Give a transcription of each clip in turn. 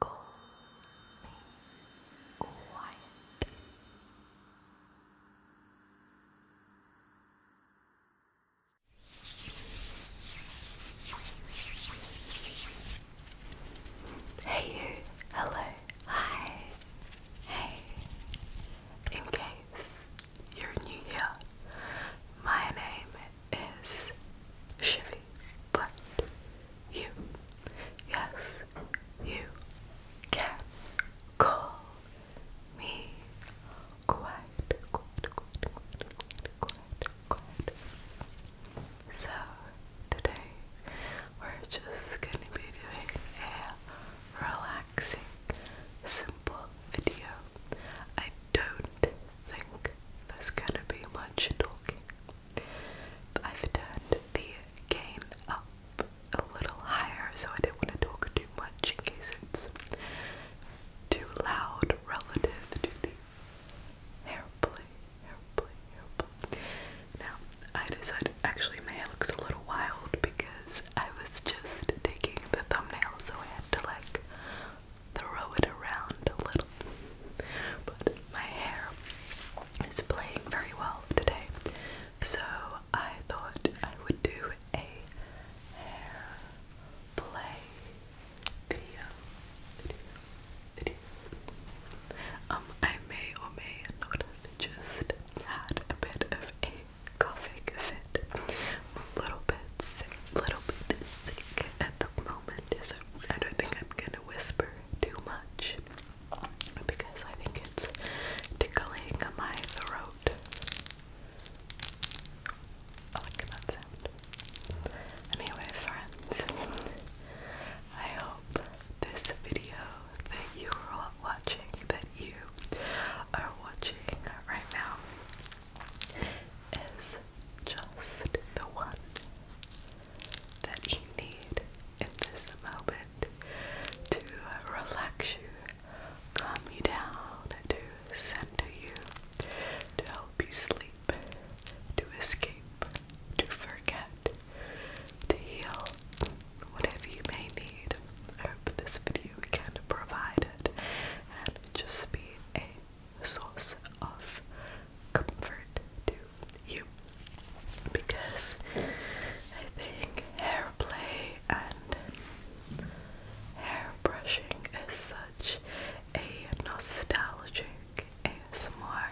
Call Hey you, hello, hi, hey. In case you're new here, my name is Chevy, but you, yes, you can call me quite, quite, quite, quite, quite, quite. So today we're just gonna be doing a relaxing, simple video. I don't think there's gonna be much talking I've turned the gain up a little higher so I didn't want to talk too much too loud relative to the airplay, airplay, Now, I decided, actually my hair looks a little wild because I was just taking the thumbnail so I had to like throw it around a little. But my hair is playing very well today, so I thought I would do a hair play video. video, Um, I may or may not have just had a bit of a coughing fit. a little bit sick, a little bit sick at the moment, so I don't think I'm gonna whisper too much because I think it's tickling my throat. I like that sound. Anyway, friends, I hope this video that you're watching, that you are watching right now, is just the one that you need in this moment to relax you, calm you down, to center you, to help you sleep, to escape, to forget, to heal, whatever you may need. I hope this video can provide it and just be a source of comfort to you because I think hair play and hair brushing is such a nostalgic ASMR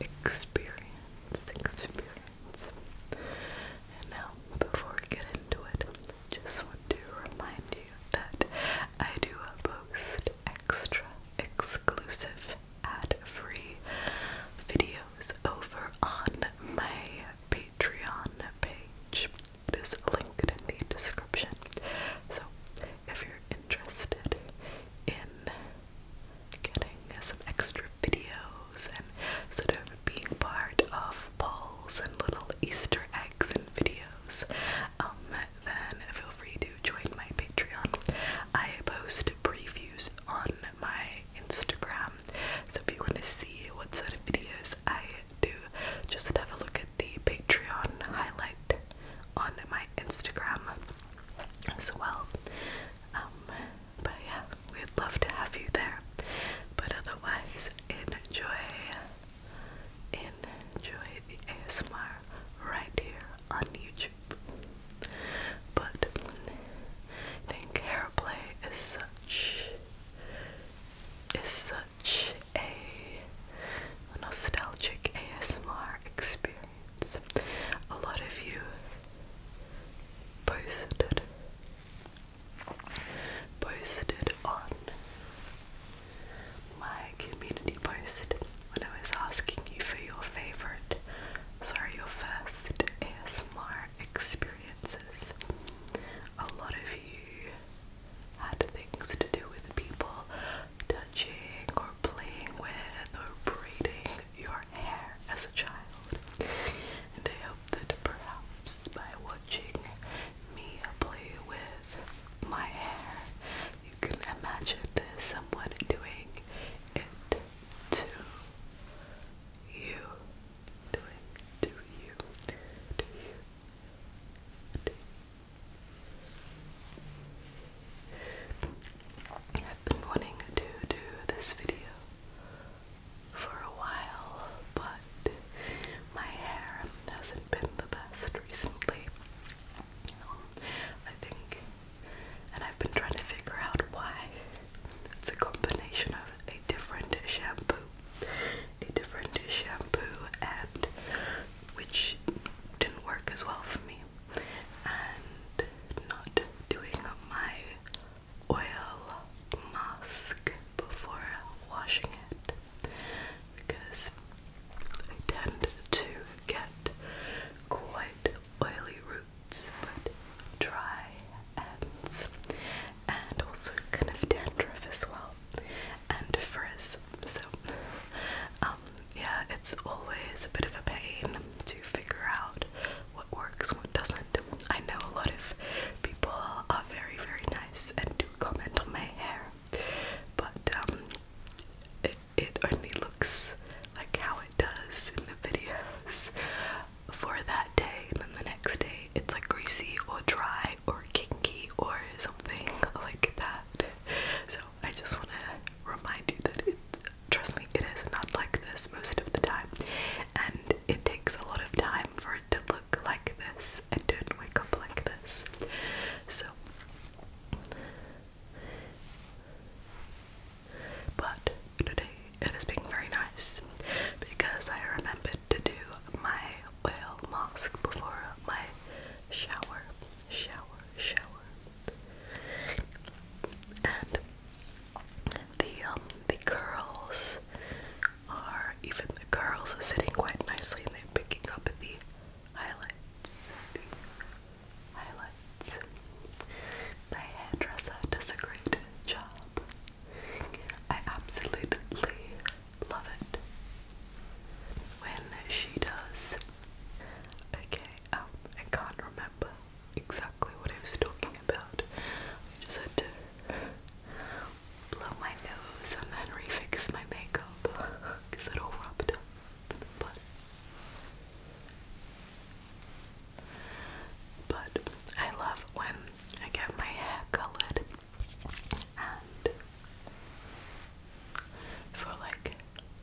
experience experience. And now before we get into it, just want to remind that I do post extra exclusive ad-free videos over on my Patreon page. This link in the description. So if you're interested in getting some extra videos and sort of being part of polls and little Easter eggs and videos, um, then feel free to join my Patreon. I post previews on my Instagram, so if you want to see what sort of videos I do, just have a look at the Patreon highlight on my Instagram as well. Um, but yeah, we'd love to have you there. But otherwise, enjoy enjoy the ASMR right here on YouTube. But I think hairplay is such is such a nostalgic ASMR experience. A lot of you posted posted on my community post when I was asking you for your favourite, sorry, your first ASMR experiences. A lot of you had things to do with people touching or playing with or braiding your hair as a child. And I hope that perhaps by watching me play with my hair. You can imagine someone doing it to you. Doing to you. To To you. I've been wanting to do this video for a while, but my hair hasn't been the best recently. I think, and I've been trying to figure out why it's a combination of a different shampoo, a different shampoo, and which didn't work as well for me, and not doing my oil mask before washing it because I tend to get quite oily roots but dry ends and also kind of dandruff as well and frizz. So um, yeah it's always a bit of a pain to figure out what works, what doesn't. I know a lot of people are very very nice and do comment on my hair but um, it, only looks like how it does in the videos for that day, then the next day it's like greasy or dry or kinky or something like that. So I just want to remind you that it's. trust me, it is not like this most of the time, and it takes a lot of time for it to look like this this and didn't wake up like this. So, but today it is being very nice because I remembered to do my oil mask before my shower, shower, shower. And the um the curls are even the curls are sitting quite nicely and they're picking up the highlights, highlights. My hairdresser does a great job. I absolutely love it when she does. Okay, um, I can't remember exactly what I was talking about. I just had to blow my nose and then refix my makeup because it all rubbed up. But, but I love when I get my hair colored and for like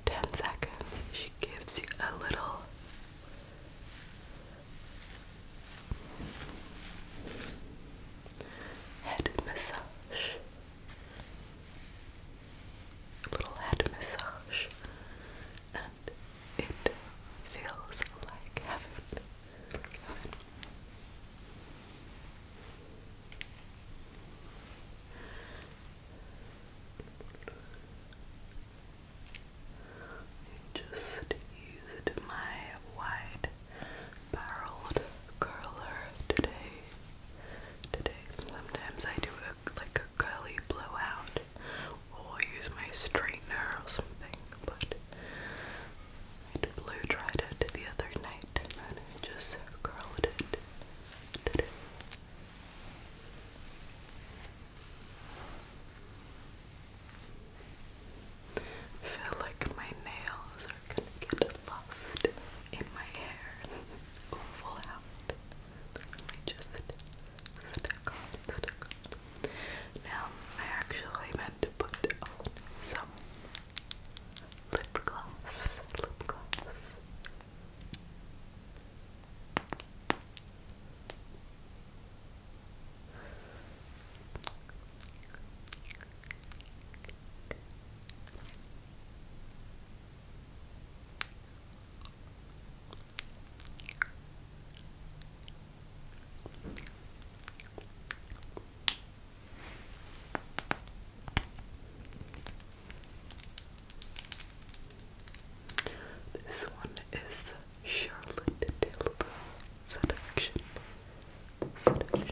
10 seconds she gives you a little head massage little head massage, and it feels like heaven. just used my wide barreled curler today. Today, sometimes I do a, like a curly blowout, or use my straightener or something. But I blow dried it the other night, and then just curled it today. feel like my nails are gonna get lost in my hair or fall out. they just Now, I actually meant to put on some lip gloss, lip gloss. This one is Charlotte Tilbury Seduction. Seduction.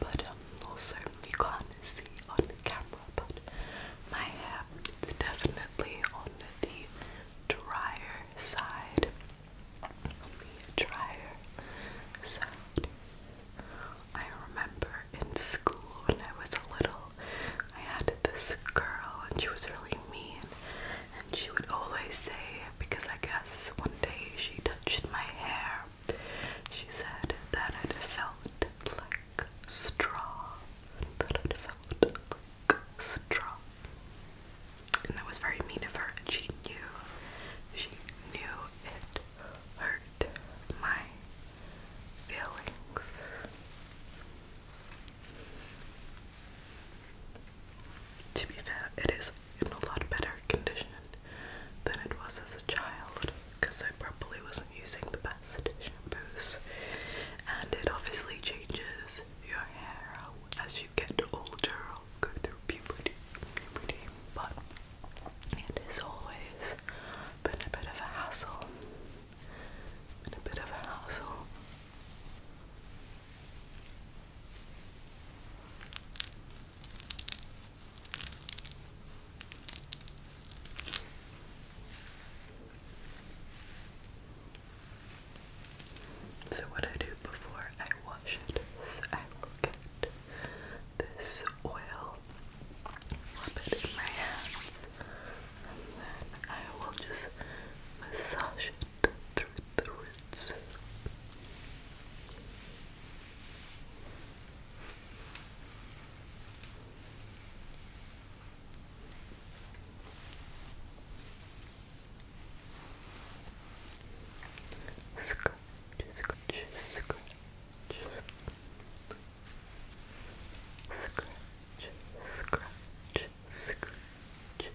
But um, also you can't see on camera, but my hair is definitely on the drier side. I remember in school when I was a little, I had this girl and she was really mean, and she would always say, because I guess one day she touched my hair, she said that it felt like straw, that it felt like straw. And that was very mean of her. She knew, she knew it hurt my feelings. To be fair, it is in a lot better condition than it was as a child because I probably wasn't using the best shampoos, and it obviously changes your hair as get older or go through puberty, puberty. But it has always been a bit of a hassle. Been a bit of a hassle. So what I do before I wash it is I will get this oil, rub it in my hands, and then I will just massage it through the roots. Scratch, scratch, scratch. Scratch, scratch, scratch.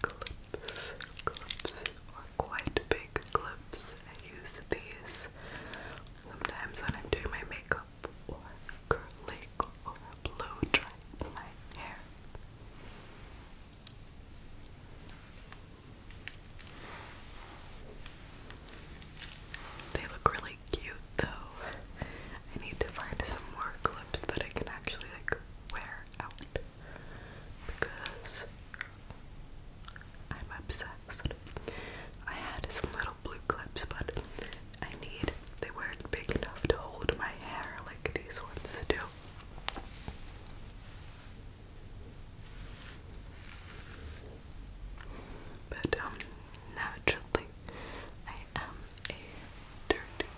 Go clips, clips, or quite big clips. I use these sometimes when I'm doing my makeup or curling or blow drying my hair. They look really cute though. I need to find some more clips that I can actually like wear out because I'm obsessed. I had some little blue clips, but I need, they weren't big enough to hold my hair like these ones do. But, um, naturally, I am a dirty,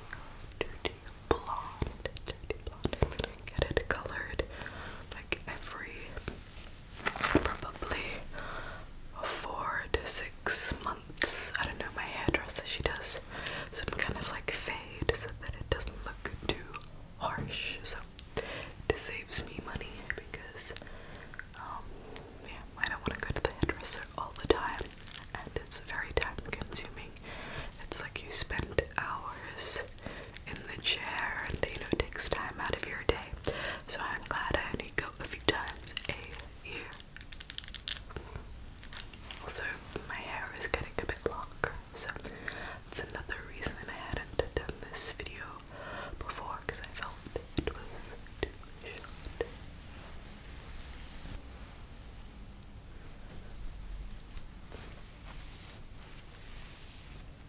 dirty blonde, dirty blonde. get it colored like every probably four to six months. I don't know, my hairdresser, she does some kind of like fade so that it doesn't look too harsh. So this saves me money because, um, yeah, I don't want to go to the hairdresser all the time and it's very time consuming. It's like you spend hours in the chair and you know takes time out of your day. So I'm glad I only go a few times a year. Also, my hair is getting a bit long, so that's another reason that I hadn't done this video before because I felt it was too short.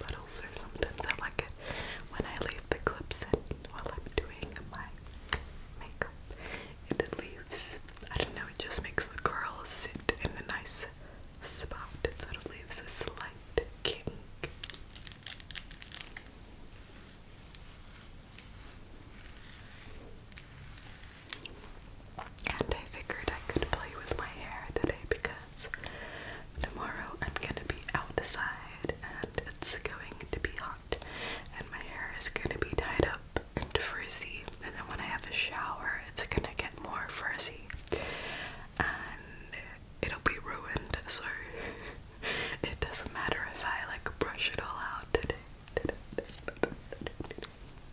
But also sometimes I like it when I leave the clips in while I'm doing my makeup. it leaves, I don't know, it just makes the curls sit in a nice spot. It sort of leaves a slight kink. And I figured I could play with my hair today because tomorrow I'm gonna be outside and it's going to be hot and my hair is gonna be tied up and frizzy and then when I have a shower it's gonna get more frizzy and it'll be ruined so it doesn't matter if I like brush it all out today.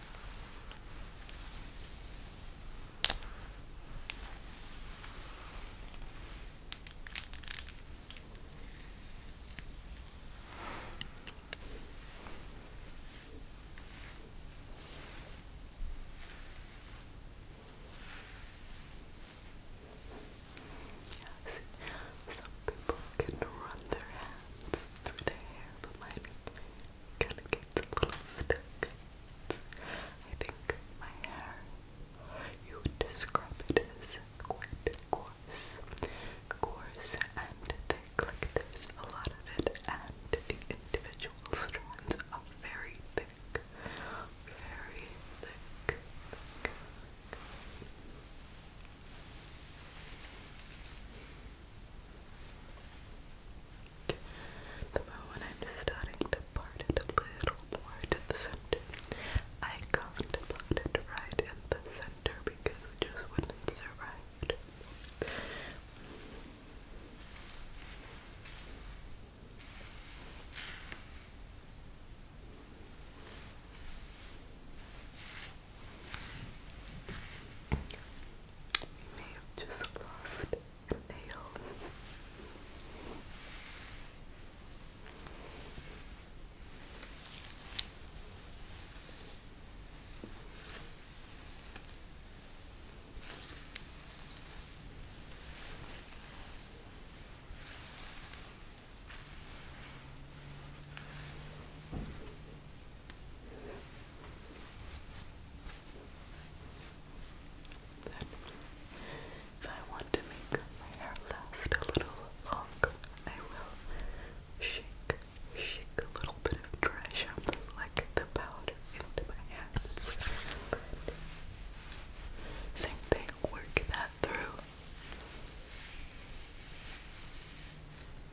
Yes, some people can run their head through the hair, but mine kind of gets a little stuck. I think my hair, you would describe it as quite coarse, coarse and thick, like there's a lot of it, and the individual strands are very thick, very thick. The moment I'm starting to part it a little more to the center, I can it right in the center because just wouldn't survive. We may have just lost a nail. Then, if I want to make my hair last a little longer, I will shake, shake a little bit of dry shampoo, like the powder, into my hands. But work that through.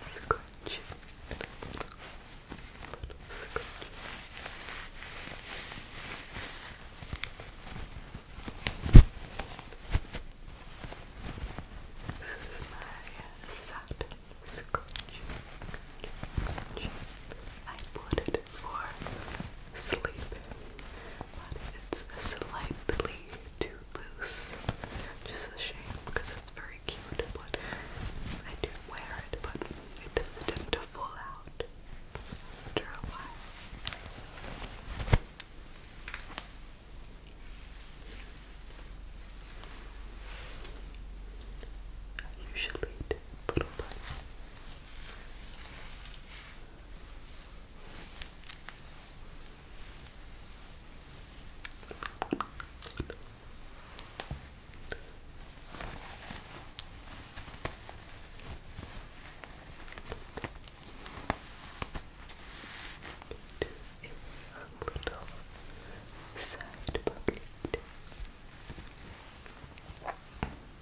Scotch. This is my satin scotch. I bought it for sleeping, but it's slightly too loose. Just a shame because it's very cute, but I do wear it, but it does tend to fall out after a while. I usually do a little bit a little side pocket.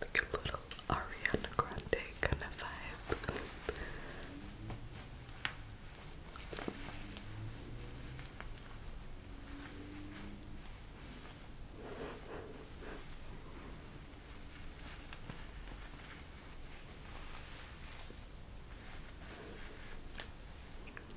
Like a little Ariana Grande kind of vibe.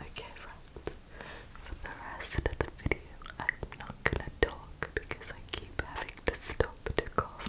Okay, friends, for the rest of the video, I'm not gonna talk because I keep having to stop to cough.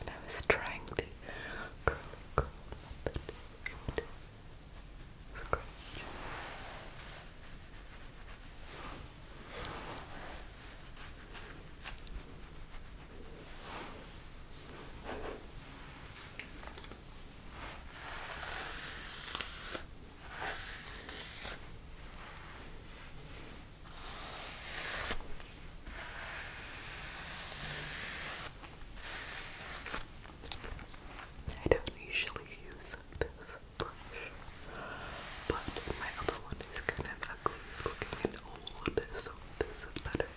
And I was trying the curly curl method. Good. Scratch. I don't usually use this brush, but my other one is kind of ugly looking and old, so this is better.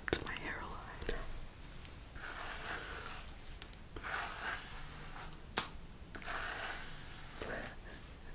That's my hairline.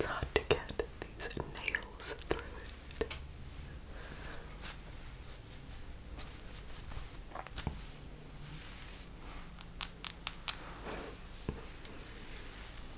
It's hard to get these nails through it.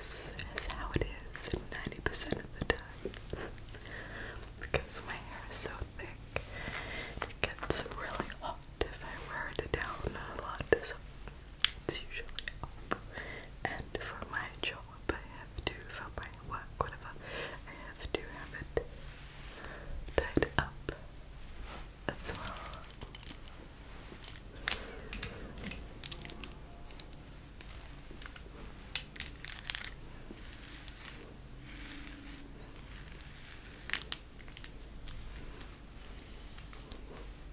this is how it is 90% of the time because my hair is so thick. It gets really hot if I wear it down a lot. It's usually up. And for my job, I have to, for my work, whatever, I have to have it tied up as well.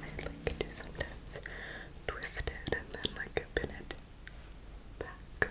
I like to sometimes twist it and then like pin it back.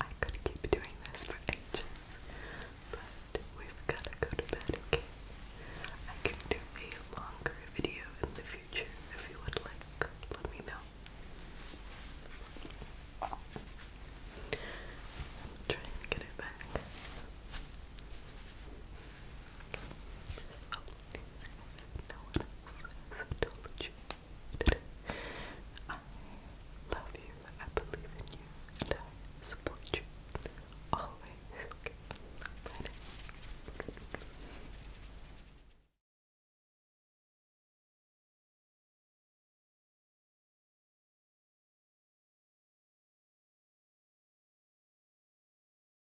I could keep doing this for ages, but we've gotta go to bed, okay? I can do a longer video in the future if you would like. Let me know. I'll get it back no one else has told you I love you, I believe in you, I support you. Always, okay?